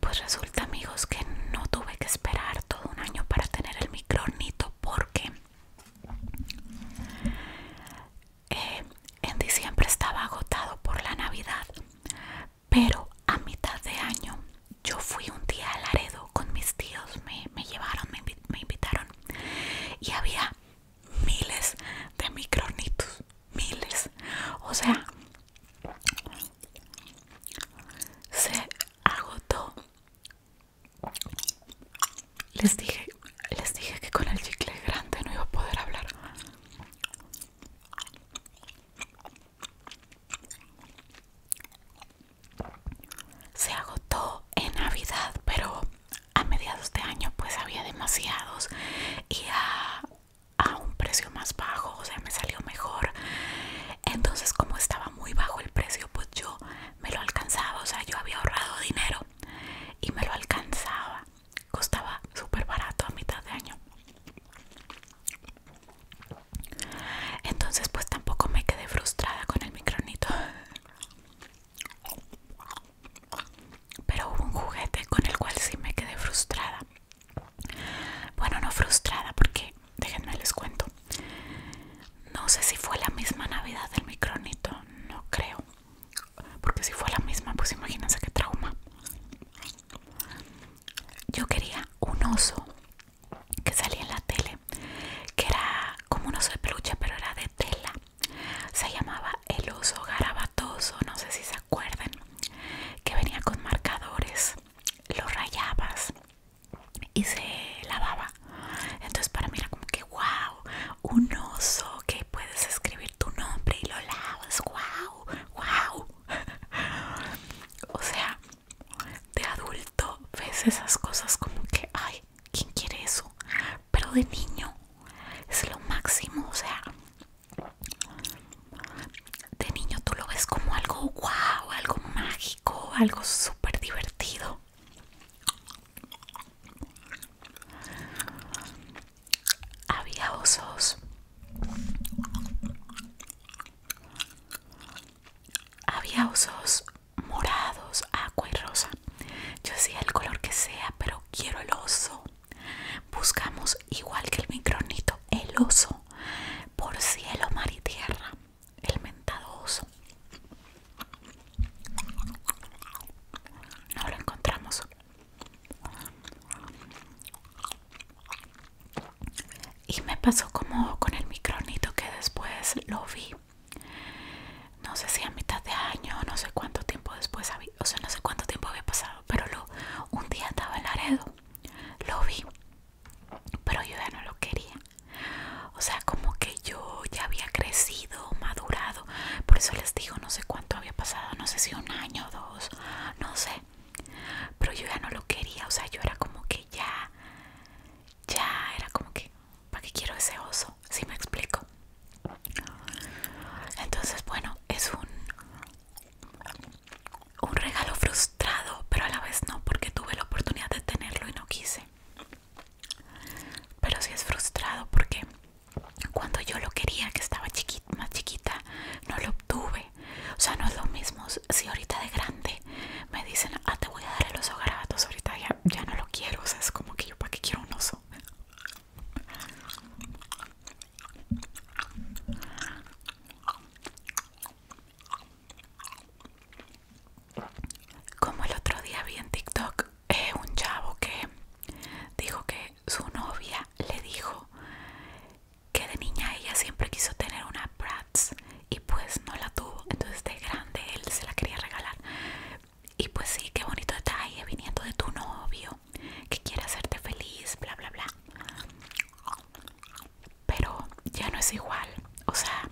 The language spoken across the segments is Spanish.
Pues resulta amigos que no tuve que esperar todo un año para tener el microornito porque eh, en diciembre estaba agotado por la Navidad, pero a mitad de año yo fui un día a Laredo con mis tíos, me, llevaron, me, invitaron y había miles de micronitos, miles, o sea, se agotó les dije les dije que con el chicle grande no iba a poder hablar se agotó en navidad pero a mediados de año pues había demasiados y a a un precio más bajo, o sea, me salió mejor. Entonces, como estaba muy bajo el precio, pues yo me lo alcanzaba, o sea, yo había ahorrado dinero y me lo alcanzaba. Costaba súper barato a mitad de año. Entonces, pues tampoco me quedé frustrada con el micronito. Pero hubo un juguete con el cual sí me quedé frustrada. Bueno, no frustrada porque, déjenme les cuento. No sé si fue la misma Navidad del micronito, no creo. Porque si fue la misma, pues imagínense qué trauma. Yo quería un oso que salía en la tele, que era como un oso de peluche, pero era de tela. Se llamaba el oso garabatoso, no sé si se acuerdan, que venía con marcadores lo rayabas y se lavaba. Entonces para mí era como que wow, un oso que puedes escribir tu nombre y lo lavas, wow, wow. o sea, de adulto ves esas cosas como que, ay, ¿quién quiere eso? Pero de niño es lo máximo, o sea, de niño tú lo ves como algo guau, algo mágico, algo súper divertido. Había osos. Había osos morados, agua y rosa. Yo decía el color que sea, pero quiero el oso. Buscamos igual que el micronito, el oso por cielo, mar y tierra, el mentado oso. No lo encontramos. Y me pasó como con el micronito que después lo vi. No sé si a mitad de año, no sé cuánto tiempo después, había, o sea, no sé cuánto tiempo había pasado, pero lo, un día estaba en Laredo lo vi, pero yo ya no lo quería. O sea, como que yo ya había crecido, madurado. Por eso les digo, no sé cuánto había pasado, no sé si un año, dos, no sé. Pero yo ya no lo quería, o sea, yo era como que ya, ya era como que, ¿para qué quiero ese oso? Si me explico. Entonces, bueno, es un un regalo frustrado, pero a la vez no, porque tuve la oportunidad de tenerlo y no quise. Pero si es frustrado porque cuando yo lo quería, que estaba chiquita, más chiquita, no lo obtuve. O sea, no es lo mismo si ahorita de grande me dicen, ah, te voy a dar el oso garabatos, ahorita ya, ya no lo quiero. O sea, es como que yo, ¿para qué quiero un oso? Como el otro día vi en TikTok eh, un chavo que dijo que su novia le dijo que de niña ella siempre quiso tener una Prats y pues no la tuvo. Entonces de grande él se la quería regalar. Y pues sí, qué bonito detalle viniendo de tu novio que quiere hacerte feliz, bla, bla, bla pero ya no es igual o sea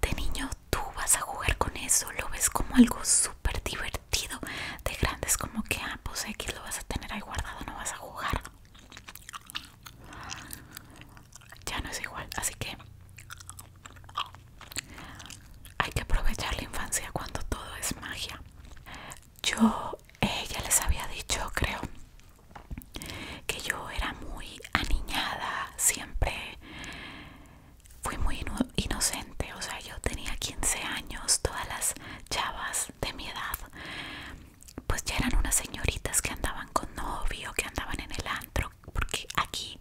de niño tú vas a jugar con eso lo ves como algo súper divertido de grandes como que ah pues X lo vas a tener ahí guardado no vas a jugar ya no es igual así que hay que aprovechar la infancia cuando todo es magia yo ella les había dicho creo que yo era muy aniñada siempre fui muy inocente o sea yo tenía 15 años todas las chavas de mi edad pues ya eran unas señoritas que andaban con novio que andaban en el antro porque aquí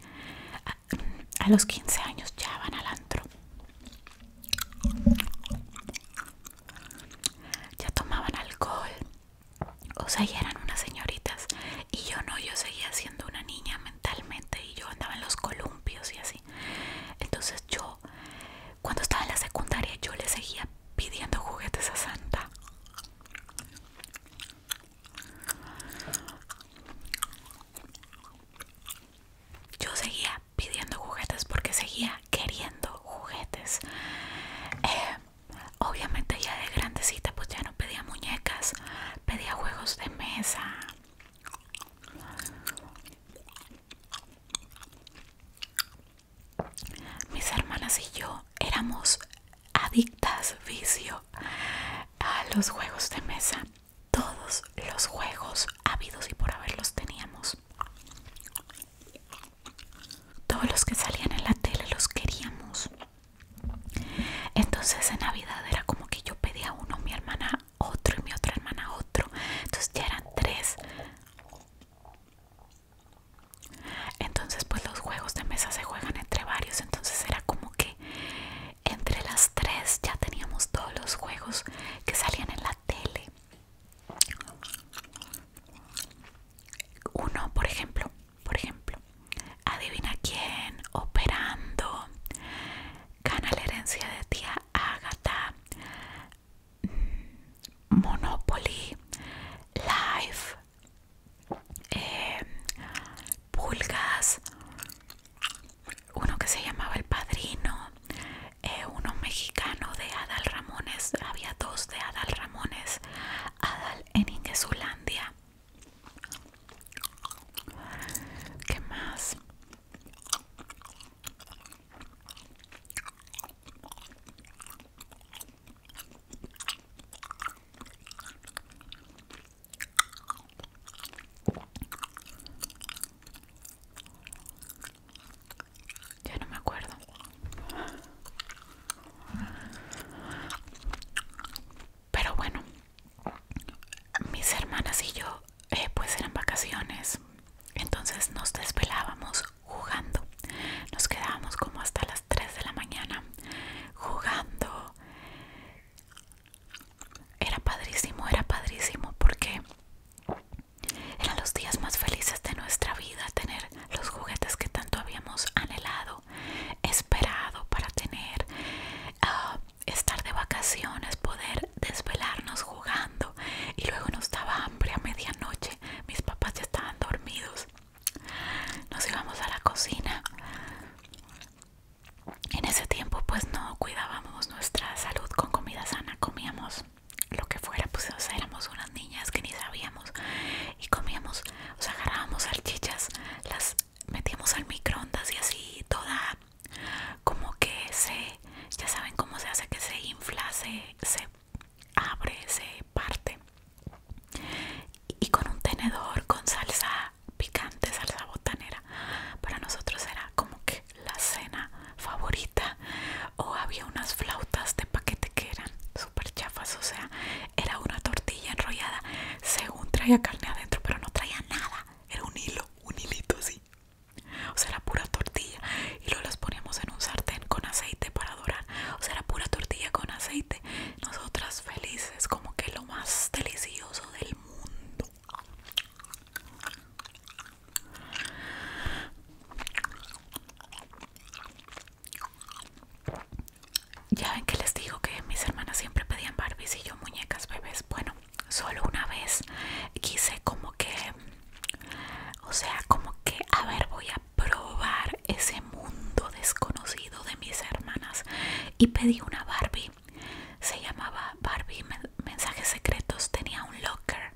a, a los 15 años ya van al antro ya tomaban alcohol, o sea, ya eran unas señoritas y yo no, yo seguía siendo una niña mentalmente y yo andaba en los columpios y así. Entonces yo, cuando estaba en la secundaria, yo le seguía pidiendo juguetes a Santa. Yo seguía pidiendo juguetes porque seguía queriendo juguetes. Eh, obviamente ya de grandecita pues ya no pedía muñecas, pedía juegos de mesa. Mis hermanas y yo éramos adictas, vicio, a los juegos de mesa. Todos los juegos habidos y por haberlos teníamos. Todos los que salían en la tele los queríamos. Entonces en Navidad era como que yo pedía uno, mi hermana otro y mi otra hermana otro. Entonces ya eran tres. Entonces pues los juegos de mesa se juegan entre varios. Entonces era como que entre las tres ya teníamos todos los juegos que salían en la tele. Uno, por ejemplo, por ejemplo, adivina quién operando gana la herencia de tía Agatha, mm, Monopoly, Life, eh, Pulgas, uno que se llamaba El Padrino, eh, uno mexicano de Adal Ramones, había dos de Adal Ramones, Adal en Ingesulandia. ¿Qué más? Ya no me acuerdo. Pero bueno, mis hermanas y yo, eh, pues eran vacaciones. Entonces nos desvelábamos jugando. Nos quedábamos como hasta las 3 de la mañana jugando. Era padrísimo, era padrísimo porque eran los días más felices de nuestra vida tener los juguetes que tanto habíamos anhelado, esperado para tener, ah, estar de vacaciones, poder desvelarnos jugando y luego nos daba hambre a medianoche, mis papás ya estaban dormidos, nos íbamos a la cocina. En ese tiempo pues no cuidábamos nuestra salud con comida sana, comíamos lo que fuera, pues éramos unas niñas que ni sabíamos y comíamos, o sea, agarrábamos salchichas, las metíamos al microondas y así toda como que se, ya saben cómo se hace que se infla, se, se abre, se parte y con un tenedor, con salsa picante, salsa botanera, para nosotros era como que la cena favorita o había unas flautas de paquete que eran súper chafas o sea era una tortilla enrollada según traía carne adentro pero no traía nada era un hilo un hilito así o sea era pura tortilla y luego las poníamos en un sartén con aceite para dorar o sea era pura tortilla con aceite nosotras felices como que lo más delicioso del mundo ya ven que les digo que mis hermanas siempre pedían Barbies y yo muñecas bebés. Bueno, solo una vez quise como que, o sea, como que, a ver, voy a probar ese mundo desconocido de mis hermanas. Y pedí una Barbie. Se llamaba Barbie Mensajes Secretos. Tenía un locker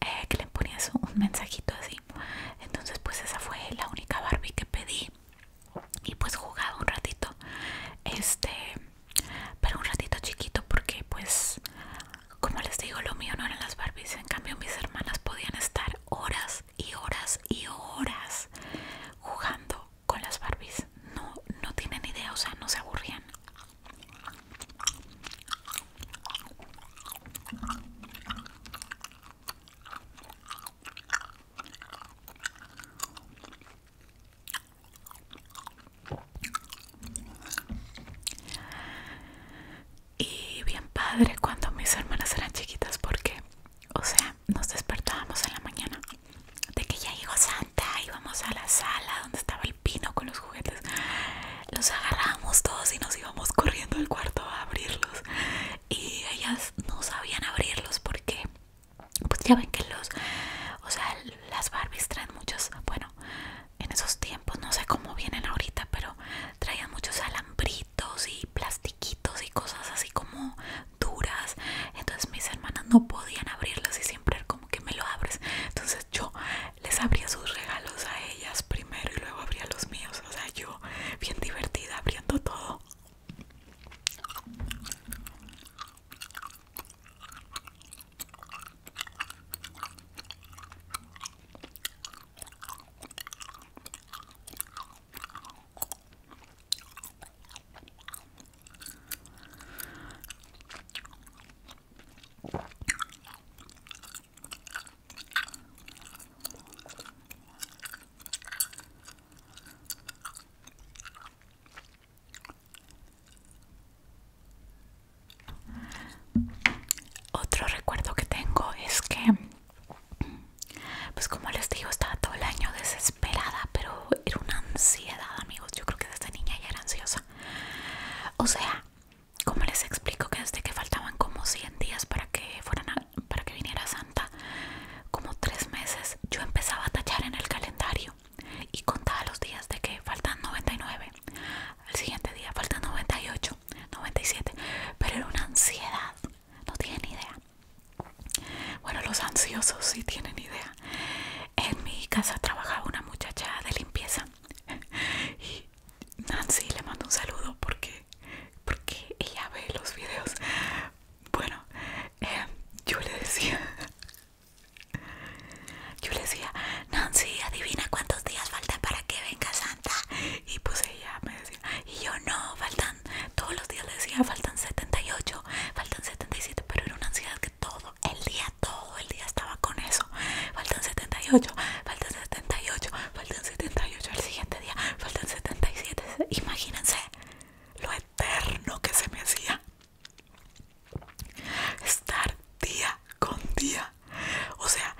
eh, que le ponías un mensajito así entonces pues esa fue la única Barbie que pedí y pues jugaba un ratito este pero un ratito chiquito porque pues como les digo lo mío no eran las Barbies en cambio mis hermanas podían estar horas y horas y horas jugando con las Barbies no, no tienen idea o sea no se aburrían y bien padre cuando mis hermanas eran chiquitas porque, o sea, nos despertábamos en la mañana de que ya llegó Santa íbamos a la sala donde estaba el pino con los juguetes los agarramos todos y nos íbamos corriendo al cuarto a abrirlos y ellas no sabían abrirlos porque pues ya ven que los o sea las Barbies traen muchos bueno en esos tiempos no sé cómo vienen ahorita pero traían muchos alambritos y plastiquitos y cosas así como duras entonces mis hermanas no podían abrirlos y siempre como que me lo abres entonces yo les abría sus regalos a ellas primero y luego abría los míos. O sea, yo bien divertida abriendo todo. Otro recuerdo que tengo es que, pues como les digo, estaba todo el año desesperada, pero era una ansiedad, amigos. Yo creo que desde niña ya era ansiosa. O sea, como les explico que desde que faltaban como 100 días para que fueran para que viniera Santa, como tres meses, yo empezaba a tachar en el calendario y contaba los días de que faltan 99. Al siguiente día faltan 98, 97, pero era una ansiedad, no tienen idea. Bueno, los ansiosos sí tienen idea. En mi casa trabajaba una muchacha de limpieza Nancy le mando un saludo porque, porque ella ve los videos. Bueno, eh, yo le decía, yo le decía, Nancy, adivina cuántos días falta para que venga Santa. Y pues ella me decía, y yo no, faltan, todos los días le decía, faltan 78, faltan 77, pero era una ansiedad que todo el día, todo el día estaba con eso. Faltan 78, faltan 78, faltan 78 el siguiente día, faltan 77. Imagínense lo eterno que se me hacía estar día con día. O sea,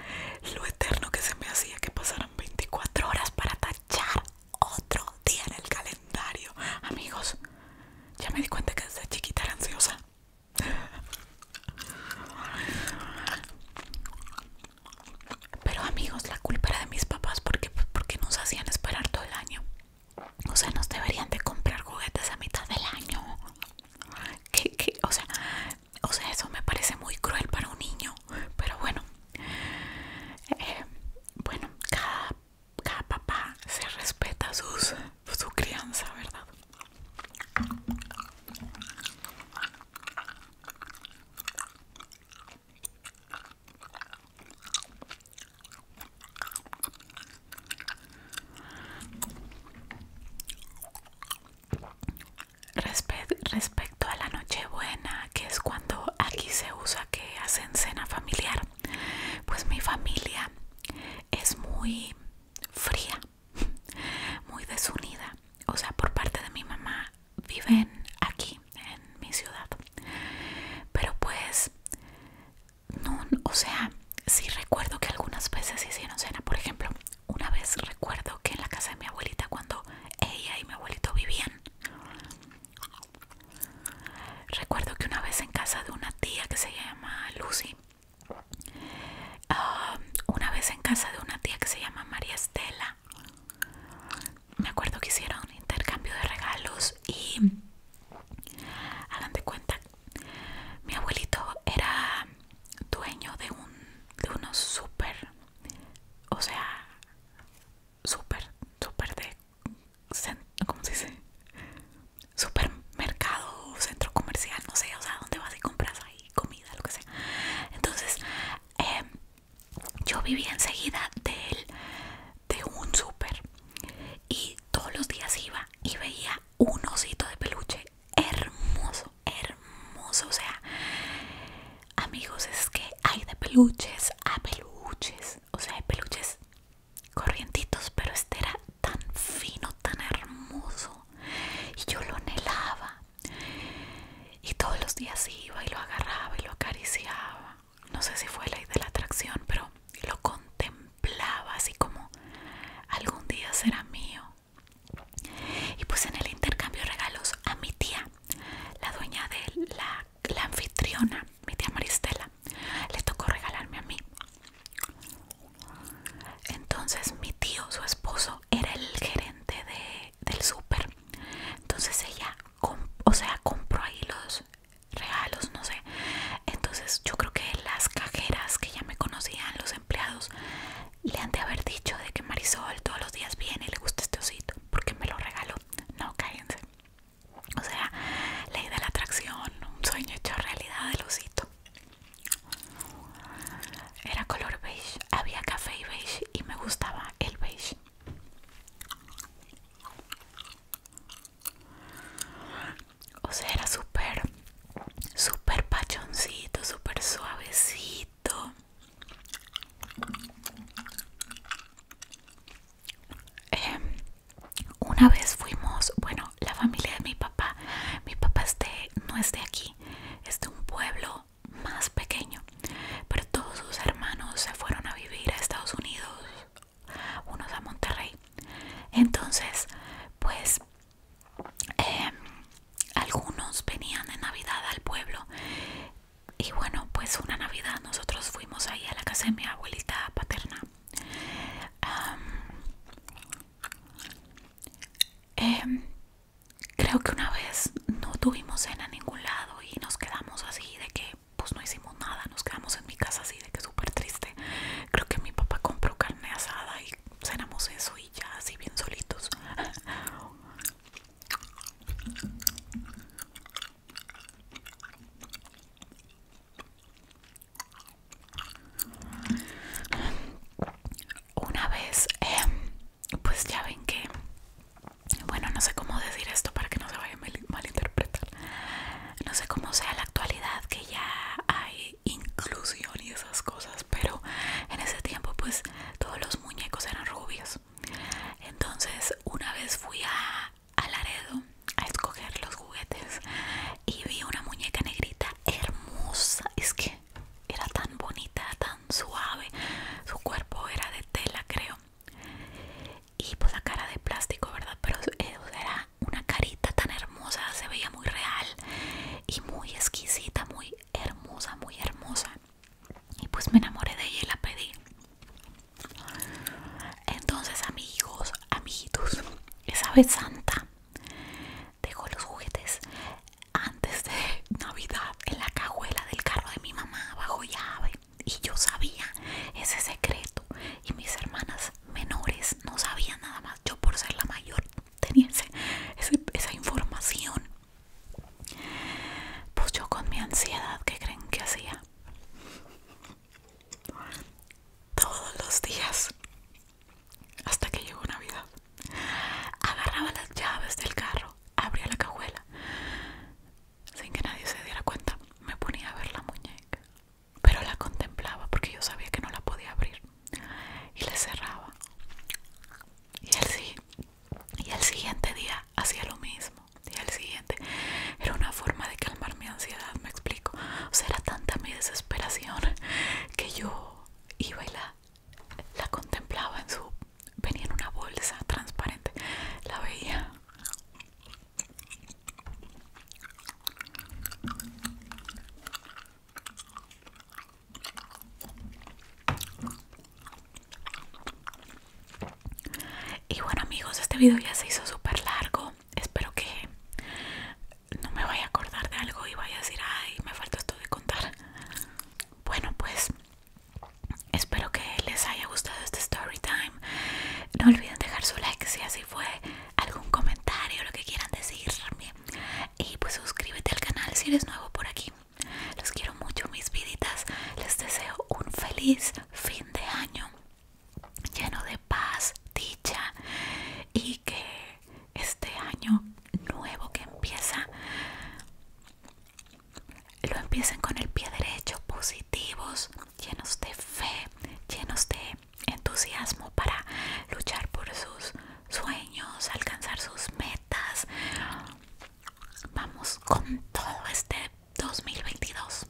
lo eterno que se me hacía que pasaran 24 horas para tachar otro día en el calendario. Amigos, ya me di cuenta que desde chiquita era ansiosa. Pero amigos, la culpa era de mis papás pues, porque, nos hacían esperar todo el año. O sea, nos deberían de comprar juguetes a mitad del año. O, sea, eso me parece muy cruel para un niño. Pero bueno, eh, bueno, cada, papá se respeta su crianza, ¿verdad? respecto a la noche buena que es cuando aquí se usa que hacen cena familiar, pues mi familia es muy fría. muy desunida. O sea, por parte de mi mamá viven aquí, en mi ciudad. Pero pues, no, o sea, si recuerdo que algunas veces hicieron cena. Por ejemplo, una vez recuerdo que en la casa de mi abuelita, cuando ella y mi abuelito vivían, recuerdo que una vez en casa de una tía que se llama Lucy, Ah, una vez en casa de una tía que se llama María Estela, me acuerdo que hicieron un intercambio de regalos y hagan de cuenta, mi abuelito era dueño de, un, de unos súper, o sea, súper, súper de, ¿cómo se dice? supermercado, centro comercial, no sé, o sea, dónde vas y compras ahí comida, lo que sea. Entonces, em, yo vivía enseguida del, de un súper y todos los días iba y veía un osito de peluche hermoso, hermoso. O sea, amigos, es que hay de peluches a peluches, o sea, hay peluches corrientitos, pero este era tan fino, tan hermoso y yo lo anhelaba y todos los días iba y lo agarraba y lo acariciaba no sé si fue la de la atracción pero lo contemplaba así como algún día será mío y pues en el intercambio de regalos a mi tía la dueña de la, la anfitriona mi tía Maristela le tocó regalarme a mí entonces mi tío, su esposo, era el gerente del súper. Entonces ella, o sea, compró ahí los regalos, no sé. Entonces yo creo que las cajeras que ya me conocían, los empleados, le han de haber dicho de que Marisol todos los días viene y le gusta este osito, porque me lo regaló. No, cállense. O sea, ley de la atracción, un sueño hecho realidad del osito. Era color beige, había café y beige y me gustaba el beige. O sea, era súper, súper pachoncito, súper suavecito. Em, una vez fuimos, bueno, la familia de mi papá, mi papá no es de aquí, es de un pueblo más pequeño, pero todos sus hermanos se fueron a vivir a Estados Unidos, unos a Monterrey. Entonces, pues, em, algunos venían de Navidad al pueblo. Y bueno, pues una Navidad nosotros fuimos ahí a la casa de mi abuelita paterna. Em, creo que una vez no tuvimos cena en ningún lado y nos quedamos así de que pues no hicimos nada, nos quedamos en mi casa así de que súper triste. Creo que mi papá compró carne asada y cenamos eso y ya así bien solitos. Una vez, em, pues ya ven que, bueno, no sé cómo decir esto para que no se vaya a malinterpretar. No sé cómo sea la actualidad que ya hay inclusión y esas cosas, pero en ese tiempo pues todos los muñecos eran rubios. Entonces una vez fui a, a Laredo a escoger los juguetes y vi una muñeca negrita hermosa, es que era tan bonita, tan suave, su cuerpo era de tela creo y pues la cara de plástico, ¿verdad? Pero eh, era una carita tan hermosa, se veía muy real y muy exquisita, muy hermosa, muy hermosa y pues me enamoré de ella y la pedí entonces amigos, amiguitos, esa vez santa dejó los juguetes antes de Navidad en la cajuela del carro de mi mamá bajo llave y yo sabía ese secreto y mis hermanas menores no sabían nada más. Yo por ser la mayor tenía esa información. Pues yo con mi ansiedad, ¿qué creen que hacía? Todos los días hasta que llegó Navidad. Agarraba las llaves del carro, abría la cajuela, sin que nadie se diera cuenta. Me ponía a ver la muñeca, pero la contemplaba porque yo sabía que no la podía abrir. Y le cerraba. Y el, y el siguiente día hacía lo mismo. Y el siguiente era una forma de calmar mi ansiedad, me explico. O sea, era tanta mi desesperación que yo iba y la, la contemplaba en su... venía en una bolsa transparente, la veía. Y bueno amigos, este video ya se hizo súper largo. Espero que no me vaya a acordar de algo y vaya a decir, ay, me falta esto de contar. Bueno, pues espero que les haya gustado este story time. No olviden dejar su like si así fue, algún comentario, lo que quieran decirme. Y pues suscríbete al canal si eres nuevo por aquí. Los quiero mucho, mis viditas. Les deseo un feliz fin de año lleno de paz, dicha y que este año nuevo que empieza lo empiecen con el pie derecho, positivos, llenos de fe, llenos de entusiasmo para luchar por sus sueños, alcanzar sus metas. Vamos con todo este 2022.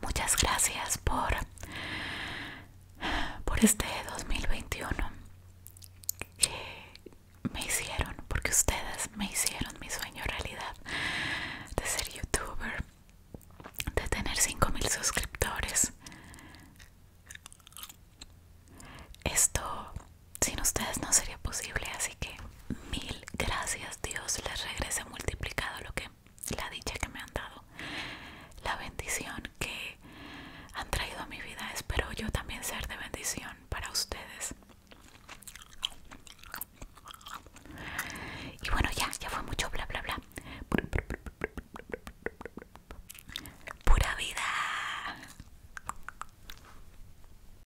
Muchas gracias por por este 2021 que me hicieron, porque ustedes me hicieron mi sueño realidad de ser youtuber, de tener 5000 suscriptores. Esto sin ustedes no sería posible, así que mil gracias Dios les regrese multiplicado lo que la dicha que me han dado, la bendición que han traído a mi vida, espero yo también ser de bendición para ustedes. Y bueno, ya, ya fue mucho bla bla bla. Pura vida.